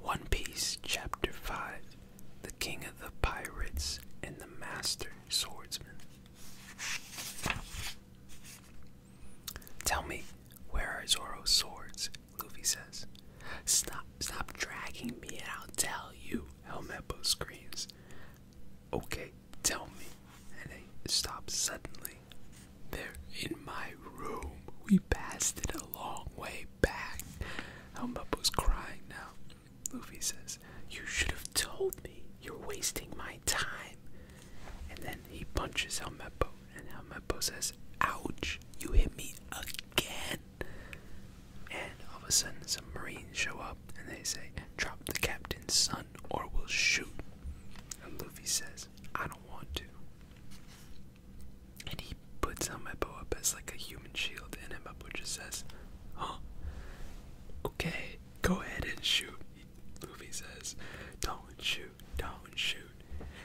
One Piece Chapter 5 The King of the Pirates and the Master Swordsman. Tell me, where are Zoro's swords? Luffy says. Stop, stop dragging me and I'll tell you, Helmeppo screams. Okay, tell me. And they stop suddenly. They're in my room. We passed it a long way back. Helmuppo's crying now. Luffy says, You should have told me. You're wasting my time. And then he punches Helmeppo, and Helmeppo says, Ouch, you hit me again. And all of a sudden, some Marines show up and they say, Drop the captain's son or we'll shoot. And Luffy says, I don't want to. And he puts Amebo up as like a human shield, and Amebo just says, Huh? Okay, go ahead and shoot. Luffy says, Don't shoot, don't shoot.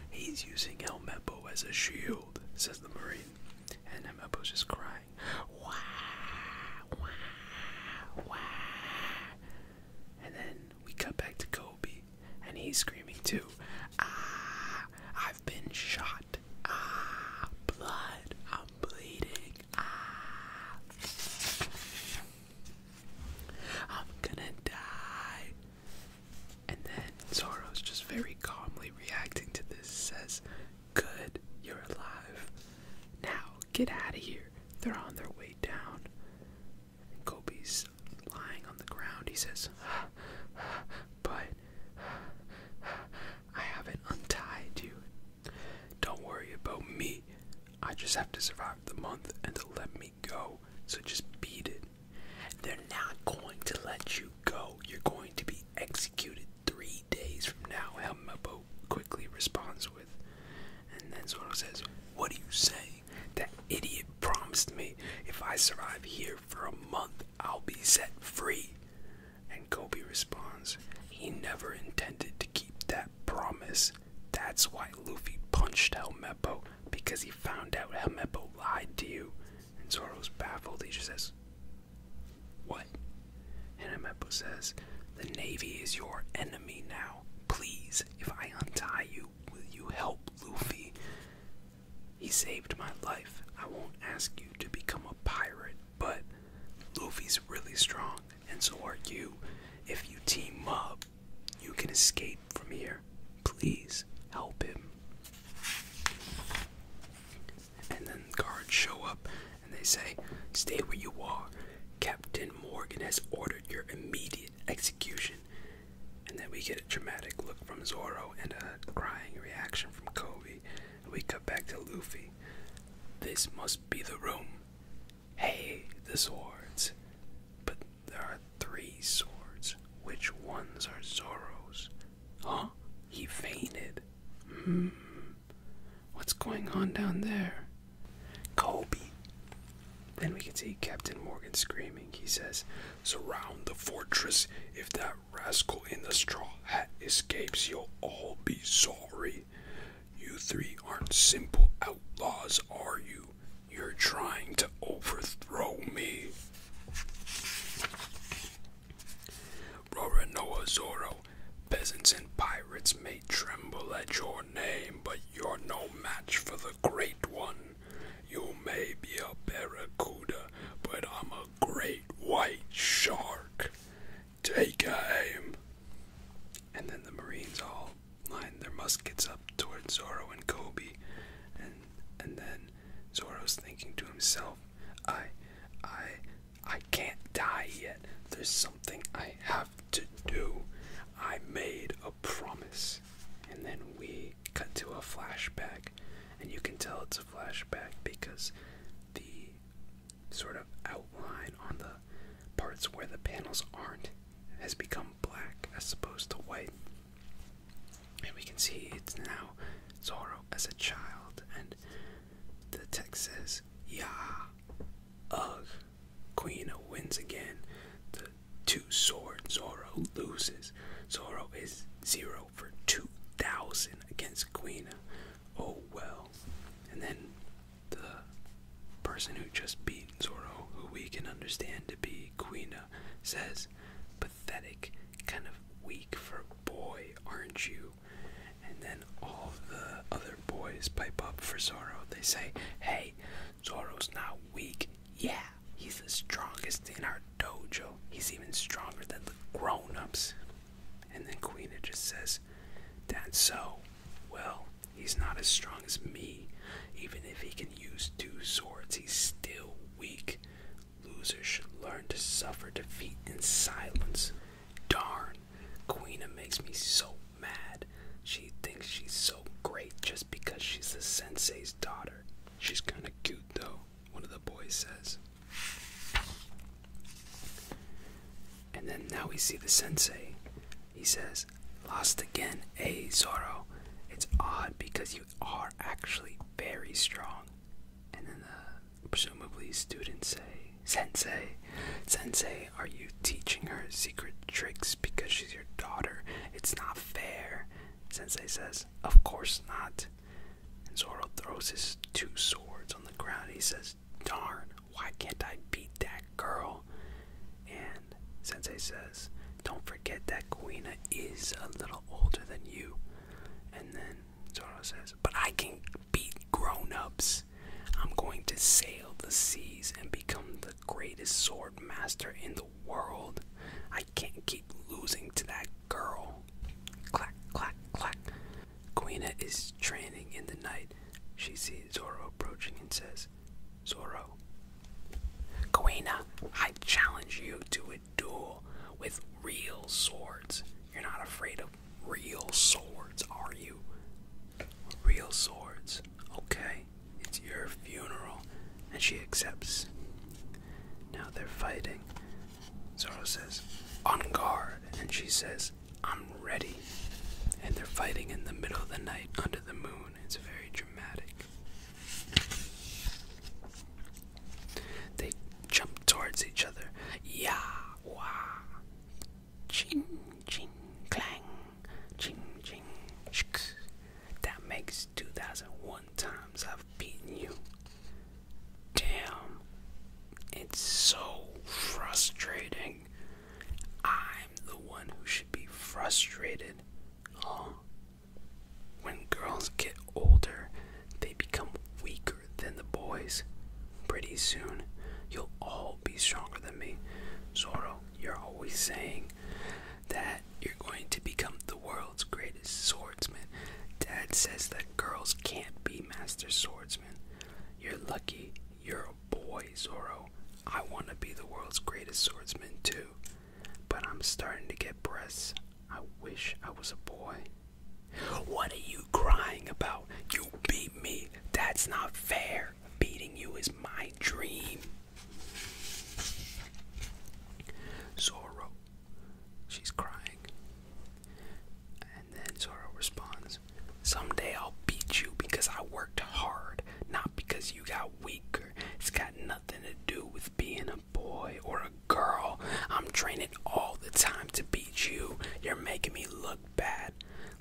He's using El Mebo as a shield, says the Marine. And El Mebo's just crying. Wah, wah, wah. And then we cut back to Kobe, and he's screaming too. Ah, I've been shot. Ah, blood. I'm bleeding. Ah, I'm gonna die. And then Zoro's just very calmly reacting to this. Says, Good, you're alive. Now get out of here. They're on their way down. Kobe's lying on the ground. He says, But I haven't untied you. Don't worry about me. I just have to survive the month and they'll let me go. So just beat it. They're not going to let you go. You're going to be executed three days from now. Helmebo quickly responds and then Zoro says, What do you say? That idiot promised me if I survive here for a month, I'll be set free. And Kobe responds, He never intended to keep that promise. That's why Luffy punched Helmeppo, because he found out Helmeppo lied to you. And Zoro's baffled. He just says, What? And Helmeppo says, The Navy is your enemy now. Please, if I untie you, will you help Luffy? He saved my life. I won't ask you to become a pirate, but Luffy's really strong, and so are you. If you team up, you can escape from here. Please help him. And then guards show up and they say, Stay where you are. Captain Morgan has ordered your immediate execution. And then we get a dramatic look from Zoro and a crying reaction from Kobe. And we cut back to Luffy. This must be the room. Hey, the swords. But there are three swords. Which ones are Zoro's? Huh? He fainted. Mm. What's going on down there? Kobe. Then we can see Captain Morgan screaming. He says, Surround the fortress. If that rascal in the straw hat escapes, you'll all be sorry. You three aren't simple outlaws, are you? You're trying to overthrow me. Roronoa Zoro, peasants and pirates may tremble at your name, but you're no match for the Great One. You may be a barracuda, but I'm a great white shark. Take aim. And then the Marines all line their muskets up toward Zoro and Kobe, and and then Zoro's thinking to himself, I, I, I can't die yet. There's something I have to do. I made a promise. And then we cut to a flashback. And you can tell it's a flashback because the sort of outline on the parts where the panels aren't has become black as opposed to white. And we can see it's now Zorro as a child and the text says, "Yeah, Ugh, Quina wins again. The two swords. Zoro loses. Zoro is zero for 2,000 against Quina. Oh well. And then the person who just beat Zoro, who we can understand to be Quina, says, Pathetic, kind of weak for a boy, aren't you? And then all the other boys pipe up for Zoro. They say, hey, Zoro's not weak. Yeah, he's the strongest in our dojo. He's even stronger than the grown ups. And then Queena just says, that's so. Well, he's not as strong as me. Even if he can use two swords, he's still weak. Losers should learn to suffer defeat in silence. Darn, Queena makes me so mad. She thinks she's so great just because she's the sensei's daughter. She's kinda cute though, one of the boys says. And then now we see the sensei. He says, Lost again, eh, Zoro? It's odd because you are actually very strong and then the, uh, presumably students say, Sensei, Sensei, are you teaching her secret tricks because she's your daughter? It's not fair. Sensei says, Of course not. And Zoro throws his two swords on the ground. He says, Darn, why can't I beat that girl? And Sensei says, Don't forget that Kuina is a little older than you. And then Zoro says, But I can beat grown ups. I'm going to sail the seas and become the greatest sword master in the world. I can't keep losing to that girl. Clack, clack, clack. Quina is training in the night. She sees Zoro approaching and says, Zoro, Quina, I challenge you to duel with real swords. You're not afraid of real swords, are you? Real swords. Okay, it's your funeral. And she accepts. Now they're fighting. Zoro says, On guard. And she says, I'm ready. And they're fighting in the middle of the night under the moon. It's very dramatic. They jump towards each other. Ya, wah. Ching, ching, clang. Ching, ching, shk. That makes 2001 times I've beaten you. Damn. It's so frustrating. I'm the one who should be frustrated. Huh? When girls get older, they become weaker than the boys. Pretty soon, you'll all be stronger than me. Zorro, you're always saying that you're going to become the world's greatest swordsman. Dad says that girls can't be master swordsmen. You're lucky you're a boy, Zorro. I want to be the world's greatest swordsman, too. But I'm starting to get breasts. I wish I was a boy. What are you crying about? You beat me. That's not fair. Beating you is my dream. Zoro. She's crying. And then Zoro responds Someday I'll beat you because I worked hard, not because you got weak. It's got nothing to do with being a boy or a girl. I'm training all the time to beat you. You're making me look bad.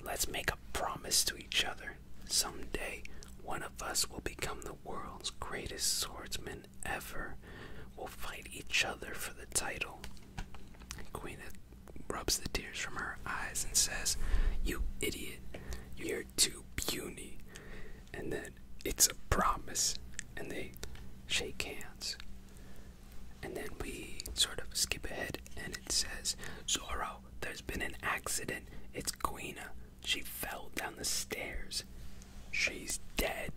Let's make a promise to each other. Someday, one of us will become the world's greatest swordsman ever. We'll fight each other for the title. Queen rubs the tears from her eyes and says, You idiot. You're to puny. And then it's a promise. And they shake hands. And then we sort of skip ahead and it says, Zorro, there's been an accident. It's Quina. She fell down the stairs. She's dead.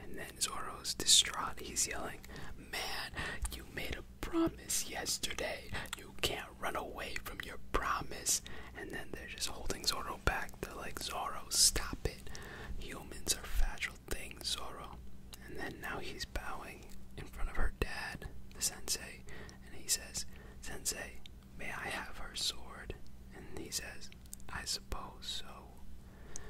And then Zorro's distraught. He's yelling, Man, you made a promise yesterday. You can't run away from your promise. And then they're just holding Zoro back. They're like, Zoro, stop it. Humans are fragile things, Zoro. And then now he's bowing in front of her dad, the sensei, and he says, Sensei, may I have her sword? And he says, I suppose so.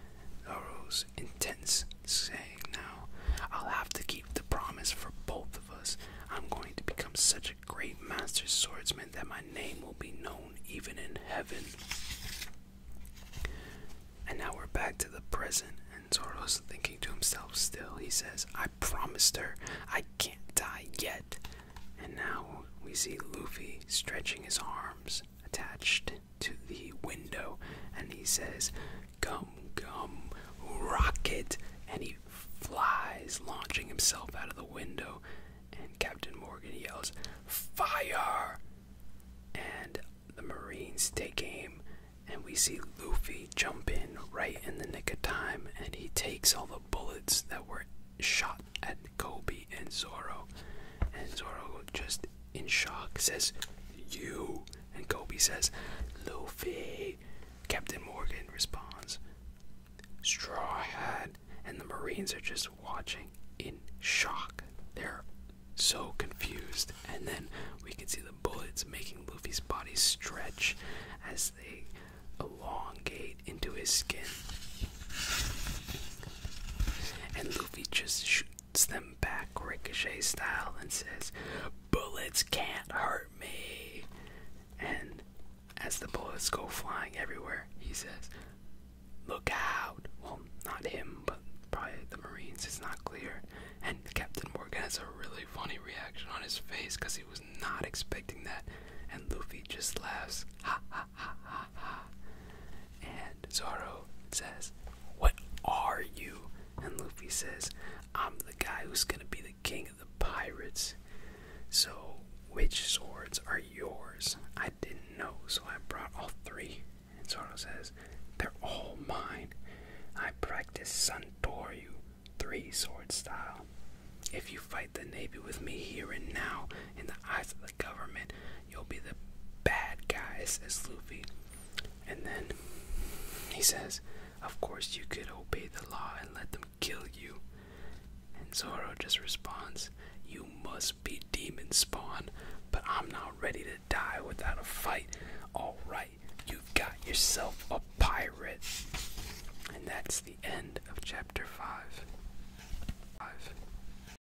Zoro's intense saying now. I'll have to keep the promise for both of us. I'm going to become such a great master swordsman that my name will be known even in heaven. And now we're back to the present, and Zoro's thinking to himself still. He says, I promised her I can't die yet. And now we see Luffy stretching his arms attached to the window, and he says, Come, come, rocket! And he flies, launching himself out of the window. And Captain Morgan yells, Fire! And the Marines take aim, and we see Luffy jump in right in the nick of time, and he takes all the bullets that were shot at Kobe and Zoro. And Zoro just in shock says, You. And Kobe says, Luffy. Captain Morgan responds, Straw Hat. And the Marines are just watching in shock. They're so confused. And then we can see the bullets making Luffy's body stretch as they elongate into his skin. And Luffy just sh hits them back ricochet style and says, Bullets can't hurt me. And as the bullets go flying everywhere, he says, Look out. Well, not him, but probably the Marines. It's not clear. And Captain Morgan has a really funny reaction on his face because he was not expecting that. And Luffy just laughs, ha ha ha ha ha. And Zoro says, what are you? And Luffy says, I'm the guy who's gonna be the king of the pirates. So, which swords are yours? I didn't know, so I brought all three. And Zoro says, They're all mine. I practice Santoryu, three sword style. If you fight the Navy with me here and now, in the eyes of the government, You'll be the bad guys," says Luffy. And then he says, Of course, you could obey the law and let them kill you. And Zoro just responds, You must be demon spawn, but I'm not ready to die without a fight. Alright, you've got yourself a pirate. And that's the end of chapter 5. 5.